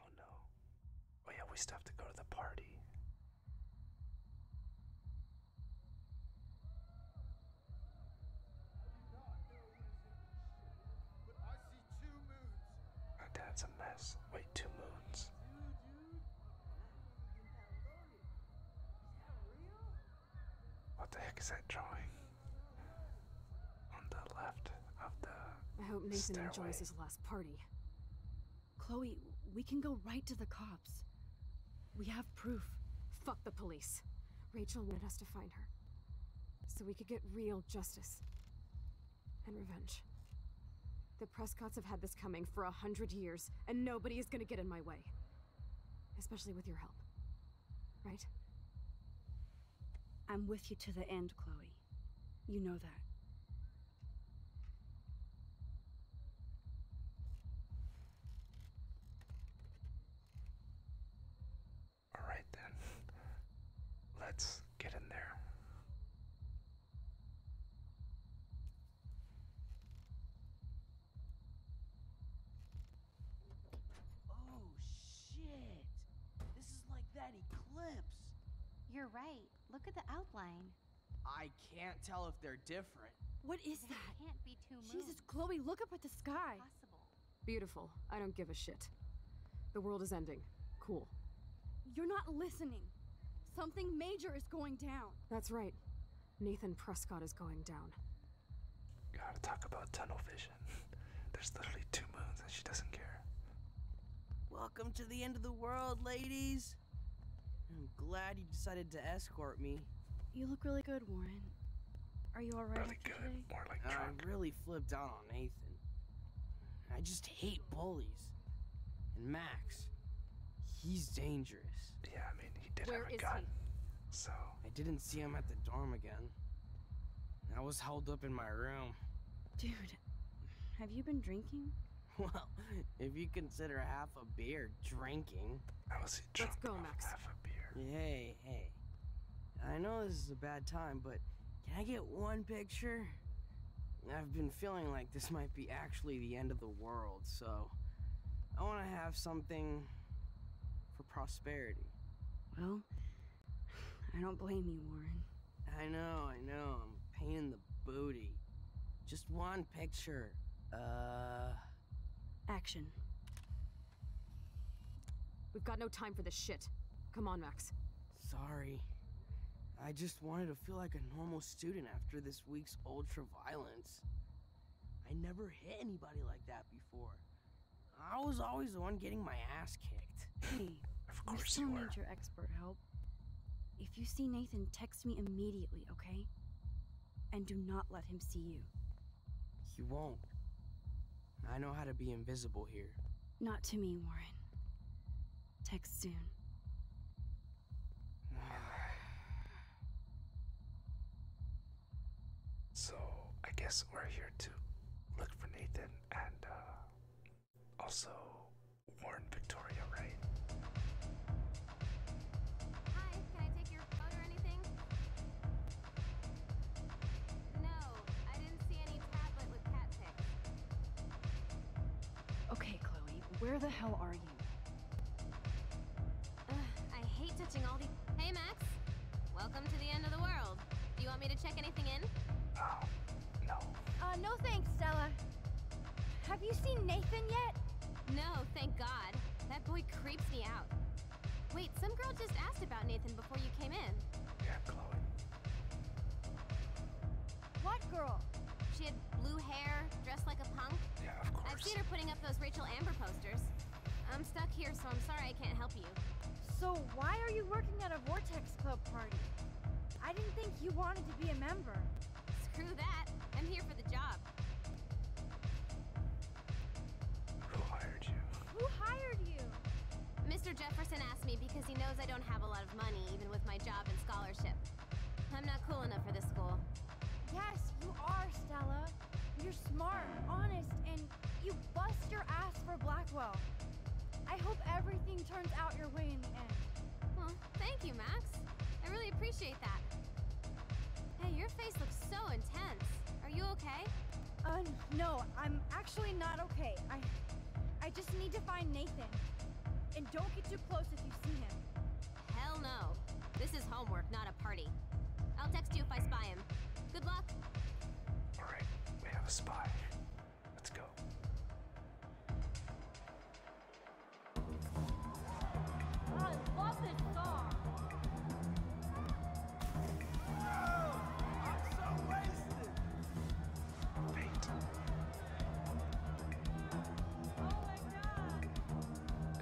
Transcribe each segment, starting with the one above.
Oh no. Oh yeah, we still have to go to the party. Oh, that's a mess. Wait, two moons. What the heck is that drawing? I hope Nathan enjoys his last party. Chloe, we can go right to the cops. We have proof. Fuck the police. Rachel wanted us to find her. So we could get real justice. And revenge. The Prescotts have had this coming for a hundred years, and nobody is gonna get in my way. Especially with your help right? I'm with you to the end, Chloe. You know that. All right then. Let's get in there. Oh shit. Shit! This is like that eclipse! You're right. Look at the outline. I can't tell if they're different. What is that? Can't Jesus, Chloe, look up at the sky. Possible. Beautiful. I don't give a shit. The world is ending. Cool. You're not listening. Something major is going down. That's right. Nathan Prescott is going down. Gotta talk about tunnel vision. There's literally two moons and she doesn't care. Welcome to the end of the world, ladies. I'm glad you decided to escort me. You look really good, Warren. Are you alright? Really good. I really flipped out on Nathan. I just hate bullies. And Max, he's dangerous. Yeah, I mean, he did have a gun. So I didn't see him at the dorm again. I was held up in my room. Dude, have you been drinking? Well, if you consider half a beer drinking. I was drunk Let's go, Max. Half a beer. Hey, hey. I know this is a bad time, but can I get one picture? I've been feeling like this might be actually the end of the world, so I want to have something for prosperity. Well, I don't blame you, Warren. I know, I know. I'm paying the booty. Just one picture. Uh... Action. We've got no time for this shit. Come on, Max. Sorry. I just wanted to feel like a normal student after this week's ultra-violence. I never hit anybody like that before. I was always the one getting my ass kicked. Hey, of course you need your expert help. If you see Nathan, text me immediately, okay? And do not let him see you. He won't. I know how to be invisible here. Not to me, Warren. Text soon. So I guess we're here to look for Nathan and uh, also warn Victoria, right? Hi, can I take your phone or anything? No, I didn't see any tablet with cat pics. Okay, Chloe, where the hell are you? I hate touching all these. Hey, Max. Welcome to the end of the world. Do you want me to check anything in? Oh, no. Uh, no thanks, Stella. Have you seen Nathan yet? No, thank God. That boy creeps me out. Wait, some girl just asked about Nathan before you came in. Yeah, Chloe. What girl? She had blue hair, dressed like a punk. Yeah, of course. I've seen her putting up those Rachel Amber posters. I'm stuck here, so I'm sorry I can't help you. So why are you working at a Vortex Club party? I didn't think you wanted to be a member. Screw that. I'm here for the job. Who hired you? Who hired you? Mr. Jefferson asked me because he knows I don't have a lot of money, even with my job and scholarship. I'm not cool enough for this school. Yes, you are, Stella. You're smart, honest, and you bust your ass for Blackwell. I hope everything turns out your way in the end. Well, thank you, Max. I really appreciate that. Hey, your face looks so intense. Are you okay? Uh, no, I'm actually not okay. I, I just need to find Nathan. And don't get too close if you see him. Hell no. This is homework, not a party. I'll text you if I spy him. Good luck. All right, we have a spy. Let's go. I love this song. I'm so wasted. Wait. Oh my god.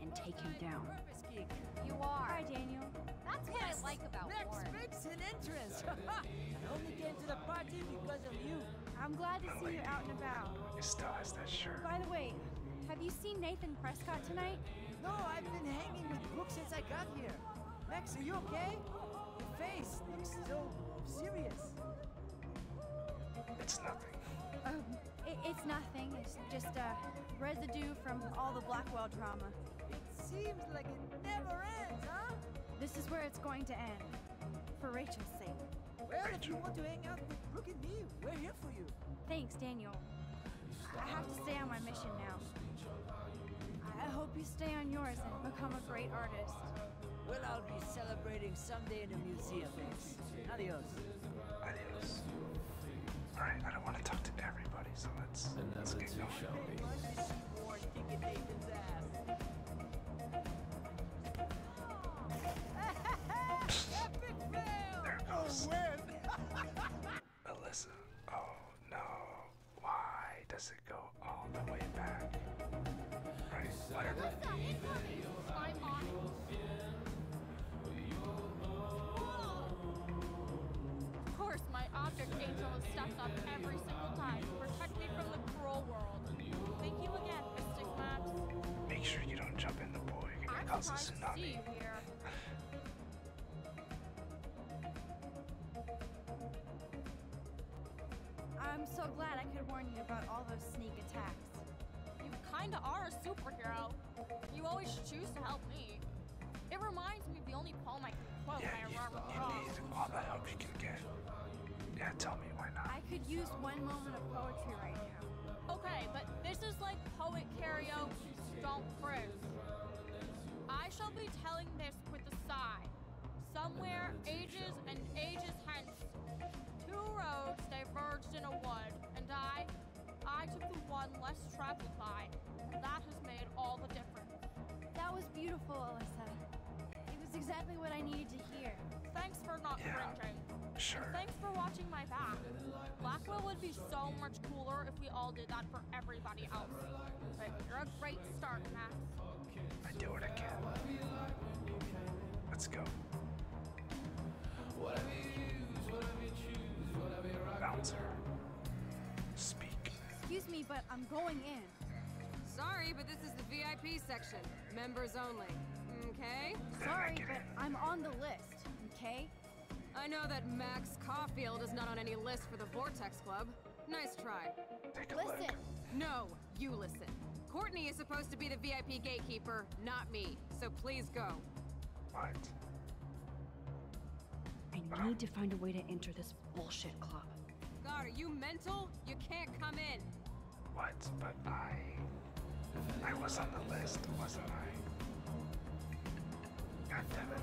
and take him down. You are. Daniel. That's what I like about you. I'm glad to see you out and about. He still has that shirt. By the way, have you seen Nathan Prescott tonight? No, I've been hanging with Brooke since I got here. Max, are you okay? Your face looks so serious. It's nothing. Um, it's nothing. It's just a residue from all the Blackwell drama. It seems like it never ends, huh? This is where it's going to end. For Rachel's sake. Well, if you want to hang out with Brooke and me, we're here for you. Thanks, Daniel. I have to stay on my mission now. I hope you stay on yours and become a great artist. Well, I'll be celebrating someday in a museum, Adios. Adios. Alright, I don't want to talk to everybody, so let's, let's get going. Shall we? Alyssa. Oh no. Why does it go all the way back? Right. Of course, my object angel steps up every single time to me from the cruel world. Thank you again, Mystic Maps. Make sure you don't jump in the boy. You're gonna I'm so glad I could warn you about all those sneak attacks. You kinda are a superhero. You always choose to help me. It reminds me of the only poem I can quote yeah, by Robert Frost. all the help you can get. Yeah, tell me why not. I could use one moment of poetry right now. Okay, but this is like poet karaoke, don't cruise. I shall be telling this with a sigh. Somewhere ages and ages hence, Two roads diverged in a wood, and I, I took the one less traveled by, and that has made all the difference. That was beautiful, Alyssa. It was exactly what I needed to hear. Thanks for not yeah. cringing. Sure. thanks for watching my back. Blackwell would be so much cooler if we all did that for everybody else. But you're a great start, Max. I do it again. Let's go. Bouncer. Speak. Excuse me, but I'm going in. Sorry, but this is the VIP section. Members only. Okay? Sorry, but I'm on the list. Okay? I know that Max Caulfield is not on any list for the Vortex Club. Nice try. Listen. No, you listen. Courtney is supposed to be the VIP gatekeeper, not me. So please go. What? I need to find a way to enter this bullshit club. God, are you mental? You can't come in. What? But I... I was on the list, wasn't I? God damn it.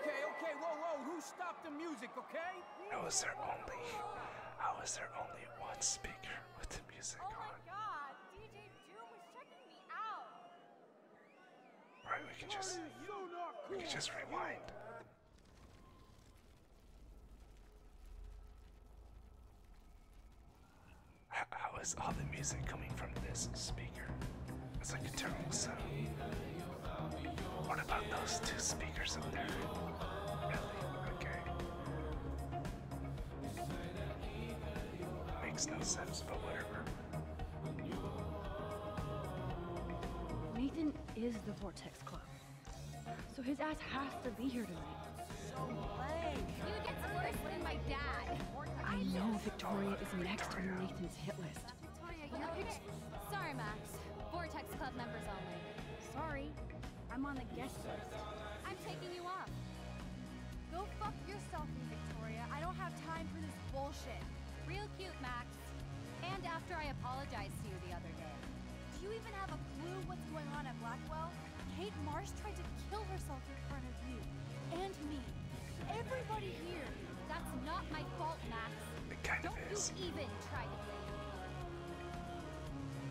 Okay, okay, whoa, whoa, who stopped the music, okay? I was there only, I was there only one speaker with the music on. Oh my god, DJ Doom was checking me out. Right, we can just, we can just rewind how is all the music coming from this speaker? It's like a terrible sound. What about those two speakers up there? Okay. Makes no sense, but whatever. Nathan is the Vortex Club, so his ass has to be here tonight. I know Victoria is next on Nathan's hit list. Sorry, Max. Vortex Club members only. Sorry. I'm on the guest list. I'm taking you off. Go fuck yourself, Victoria. I don't have time for this bullshit. Real cute, Max. And after I apologized to you the other day. Do you even have a clue what's going on at Blackwell? Kate Marsh tried to kill herself in front of you. And me. Everybody here. That's not my fault, Max. Don't of is. even try to blame me.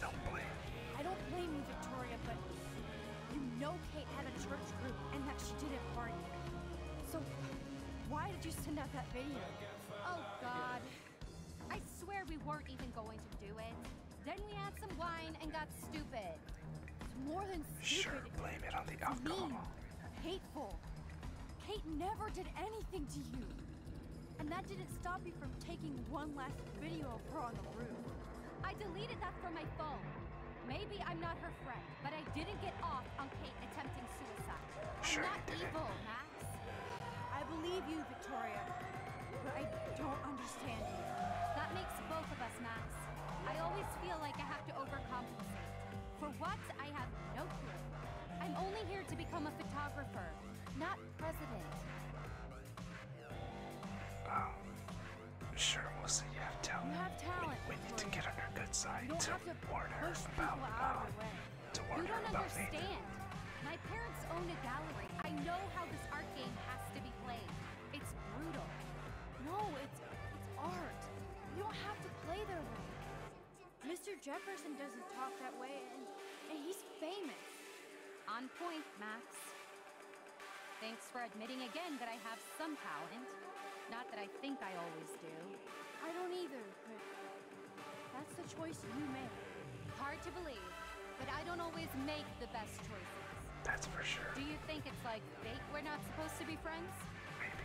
Don't blame I don't blame you, Victoria, but you know Kate had a church group and that she didn't party. So why did you send out that video? Oh, God. I swear we weren't even going to do it. Then we had some wine and got stupid. It's more than stupid. Sure, blame it on the alcohol. Mean, hateful. Kate never did anything to you. And that didn't stop you from taking one last video of her on the roof. I deleted that from my phone. Maybe I'm not her friend, but I didn't get off on Kate attempting suicide. Sure, not evil, Matt. I believe you, Victoria, but I don't understand you. That makes both of us, Max. I always feel like I have to overcompensate. For what, I have no clue. I'm only here to become a photographer, not president. Um, sure, we You have talent. We, need to get on good side to warn about, um, to warn about my parents own a gallery. I know how this art game has to be played. It's brutal. No, it's, it's art. You don't have to play their way. Mr. Jefferson doesn't talk that way, and, he's famous. On point, Max. Thanks for admitting again that I have some talent. Not that I think I always do. I don't either, that's the choice you made. Hard to believe, but I don't always make the best choices. That's for sure. Do you think it's like fate we're not supposed to be friends? Maybe.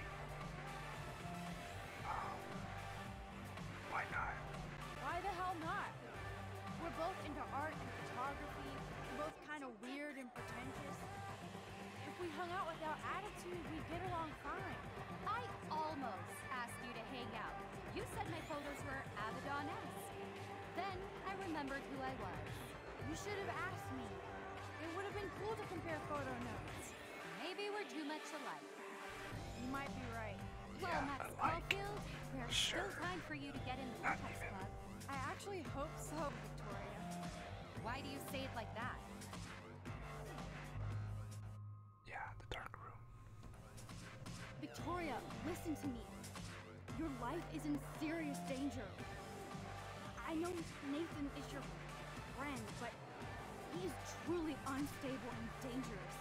Um, why not? Why the hell not? We're both into art and photography. We're both kind of weird and pretentious. If we hung out without attitude, we'd get along fine. I almost asked you to hang out. You said my photos were Abaddon-esque. Then I remembered who I was. You should have asked me. It would have been cool to compare photo notes. Maybe we're too much alike. You might be right. Well, yeah, Max alike. Caulfield, there's sure. still time for you to get in the uh, Vortex Club. I actually hope so, Victoria. Why do you say it like that? Victoria, listen to me. Your life is in serious danger. I know Nathan is your friend, but he is truly unstable and dangerous.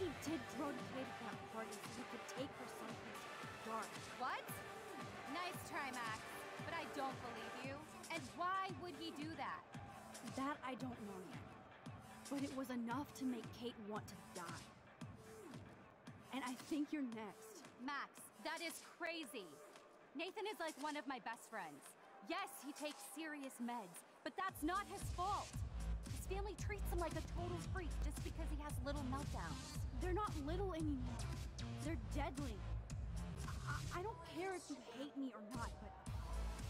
He did drug kidnap party so he could take her someplace dark. What? Nice try, Max, but I don't believe you. And why would he do that? that? I don't know yet. But it was enough to make Kate want to die. And I think you're next. Max, that is crazy. Nathan is like one of my best friends. Yes, he takes serious meds, but that's not his fault. His family treats him like a total freak just because he has little meltdowns. They're not little anymore. They're deadly. I, I don't care if you hate me or not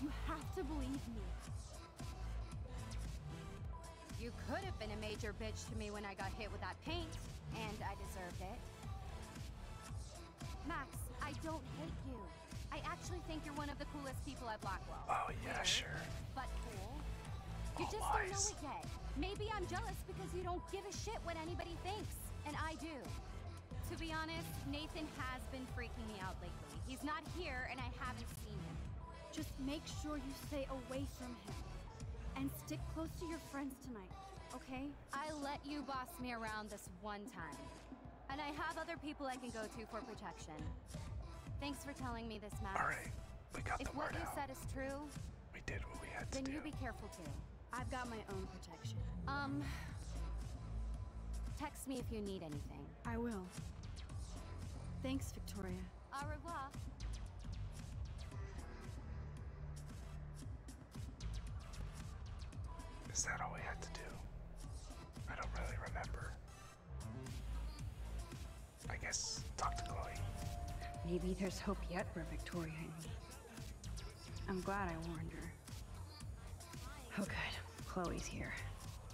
you have to believe me. You could have been a major bitch to me when I got hit with that paint, and I deserved it. Max, I don't hate you. I actually think you're one of the coolest people at Blackwell. Oh, yeah, sure. But cool. You just don't know it yet. Maybe I'm jealous because you don't give a shit what anybody thinks, and I do. To be honest, Nathan has been freaking me out lately. He's not here, and I haven't seen him. Just make sure you stay away from him. And stick close to your friends tonight, okay? I let you boss me around this one time. And I have other people I can go to for protection. Thanks for telling me this, Matt. Alright, we got if the word If what you said is true... We did what we had to do. Then you be careful too. I've got my own protection. Um... Text me if you need anything. I will. Thanks, Victoria. Au revoir. Is that all we had to do? I don't really remember. I guess talk to Chloe. Maybe there's hope yet for Victoria I'm glad I warned her. Oh good, Chloe's here.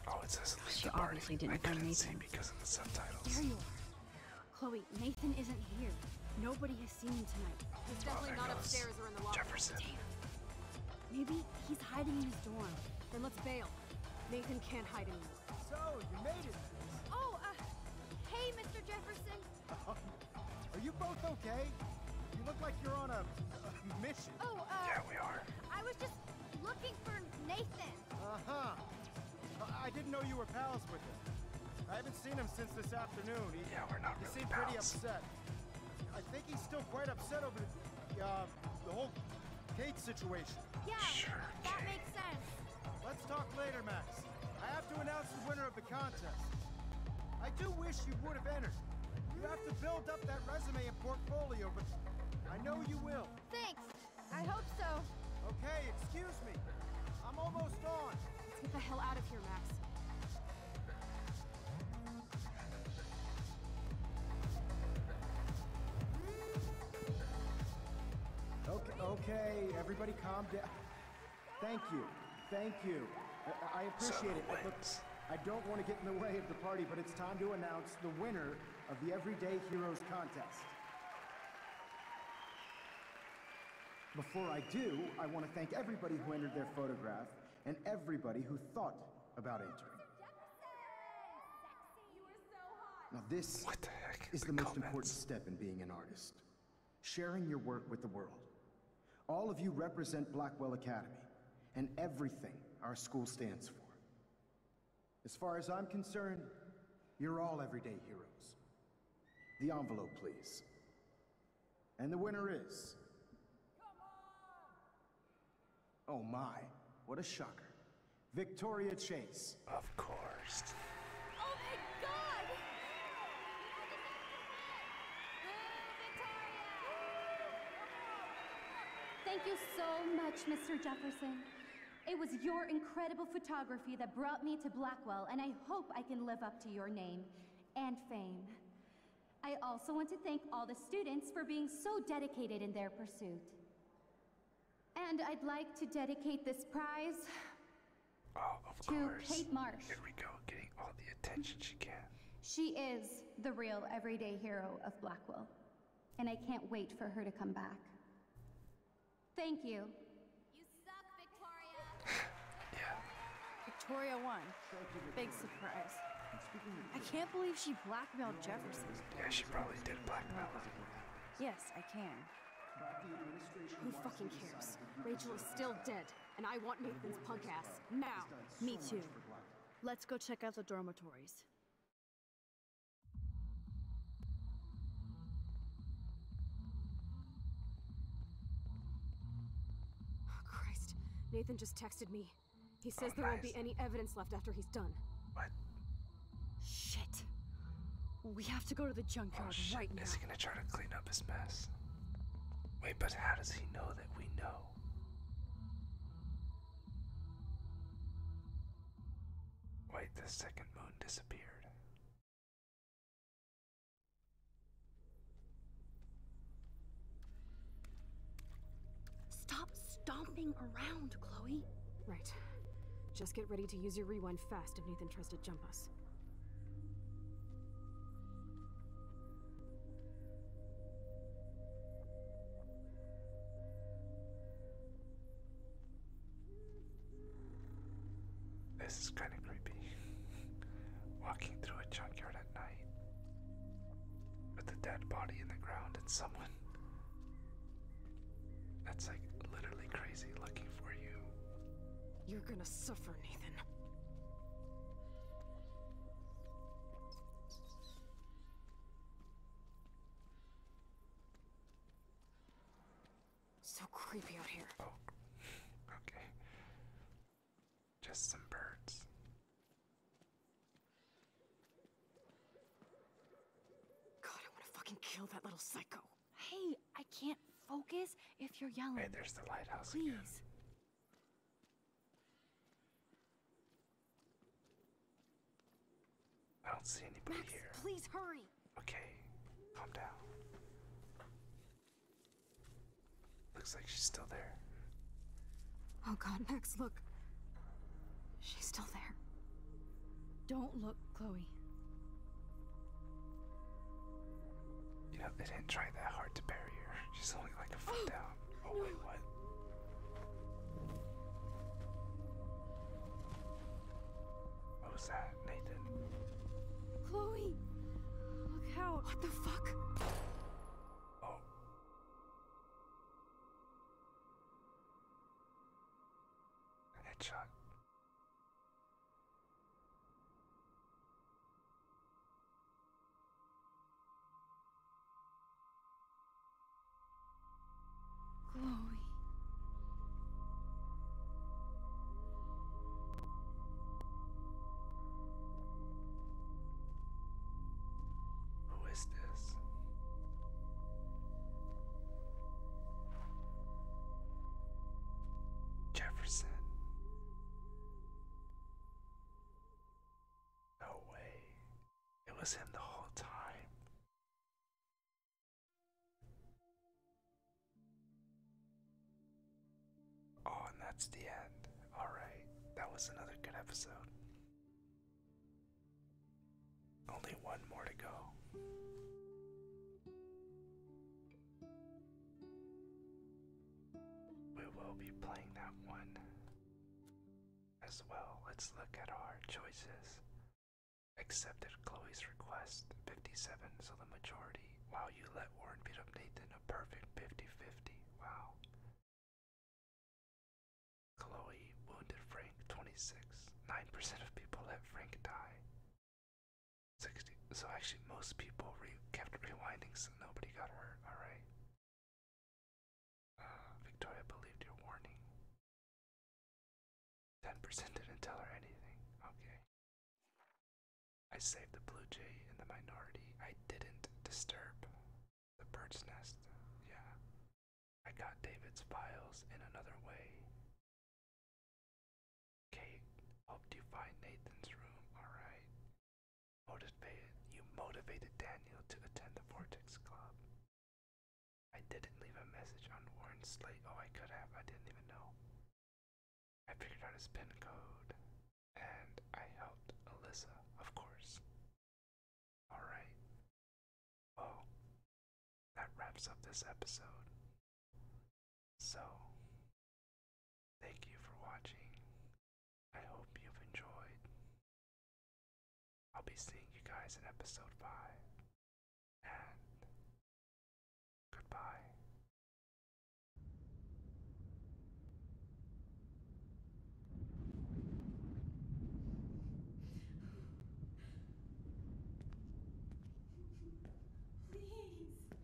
Oh, it says Linda She obviously didn't I find couldn't see Nathan. because of the subtitles. Chloe, Nathan isn't here. Nobody has seen him tonight. Oh, he's definitely not upstairs or in the locker. Jefferson. Maybe he's hiding in his dorm. Then let's bail. Nathan can't hide anymore. So, you made it. Oh, uh, hey, Mr. Jefferson. Are you both okay? You look like you're on a mission yeah, oh, uh, we are. I was just looking for Nathan. Uh-huh. I didn't know you were pals with him. I haven't seen him since this afternoon. He, yeah, we're not He seemed pretty upset. I think he's still quite upset over uh, the, whole Kate situation. Yeah, sure, that makes sense. Let's talk later, Max. I have to announce the winner of the contest. I do wish you would have entered. You have to build up that resume portfolio, but I know you will. Thanks. I hope so. Okay, excuse me. I'm almost on. get the hell out of here, Max. Okay, okay, everybody calm down. Thank you. Thank you. I, appreciate it. I don't want to get in the way of the party, but it's time to announce the winner of the Everyday Heroes contest. Before I do, I want to thank everybody who entered their photograph and everybody who thought about entering. Now this is the most important step in being an artist. Sharing your work with the world. All of you represent Blackwell Academy and everything our school stands for. As far as I'm concerned, you're all everyday heroes. The envelope, please. And the winner is... Oh my, what a shocker. Victoria Chase. Of course. Oh my god! Thank you so much, Mr. Jefferson. It was your incredible photography that brought me to Blackwell, and I hope I can live up to your name and fame. I also want to thank all the students for being so dedicated in their pursuit. And I'd like to dedicate this prize oh, to course. Kate Marsh. Here we go, getting all the attention she can. She is the real everyday hero of Blackwell, and I can't wait for her to come back. Thank you. Victoria! yeah. Victoria won. Big surprise. I can't believe she blackmailed Jefferson. Yeah, she probably did blackmail him. Yes, I can. Who fucking cares? Rachel is still dead and I want Nathan's punk ass now. Me too. Let's go check out the dormitories. Oh, Christ, Nathan just texted me. He oh, says there won't be any evidence left after he's done. What? Shit. We have to go to the junkyard oh, right now. Is he gonna try to clean up his mess? Wait, but how does he know that? Wait, the second moon disappeared. Stop stomping around, Chloe. Right. Just get ready to use your rewind fast if Nathan tries to jump us. This is kind of creepy. Walking through a junkyard at night with a dead body in the ground and someone that's like literally crazy looking for you. You're gonna suffer, Nathan. So creepy out here. Oh, okay. Just some birds. God, I want to fucking kill that little psycho. Hey, I can't focus if you're yelling. Hey, there's the lighthouse Please. I don't see anybody Max, Please hurry. Okay, calm down. Looks like she's still there. Oh god, Max, look. She's still there. Don't look, Chloe. You know, they didn't try that hard to bury her. She's only like a foot down. Oh, wait, what? What was that, Nathan? Chloe! Look out! What the fuck? Oh. Headshot. Chloe. Who is this? Jefferson. No way. It was him the whole time. Oh, and that's the end. Alright, that was another good episode. Only one more to go. We will be playing that one as well. Let's look at our choices. Accepted Chloe's request 57, so the majority. While you let Warren beat up Nathan a perfect 50 50. Wow. Chloe wounded Frank 26. 9% of people let Frank die. 60. So actually, most people re kept rewinding, so nobody got hurt. All right. Uh, Victoria believed your warning. 10% didn't tell her anything. Okay. I saved the blue jay in the minority. I didn't disturb the bird's nest. Yeah. I got David's files in another way. Kate, helped you find Nathan's room, alright. Motivated, you motivated Daniel to attend the Vortex Club. I didn't leave a message on Warren's slate. Oh, I could have. I didn't even know. I figured out his PIN code. And I helped Alyssa, of course. Alright. Well, that wraps up this episode. So, thank you for watching. I hope you've enjoyed. I'll be seeing you guys in episode 5. And goodbye. Please.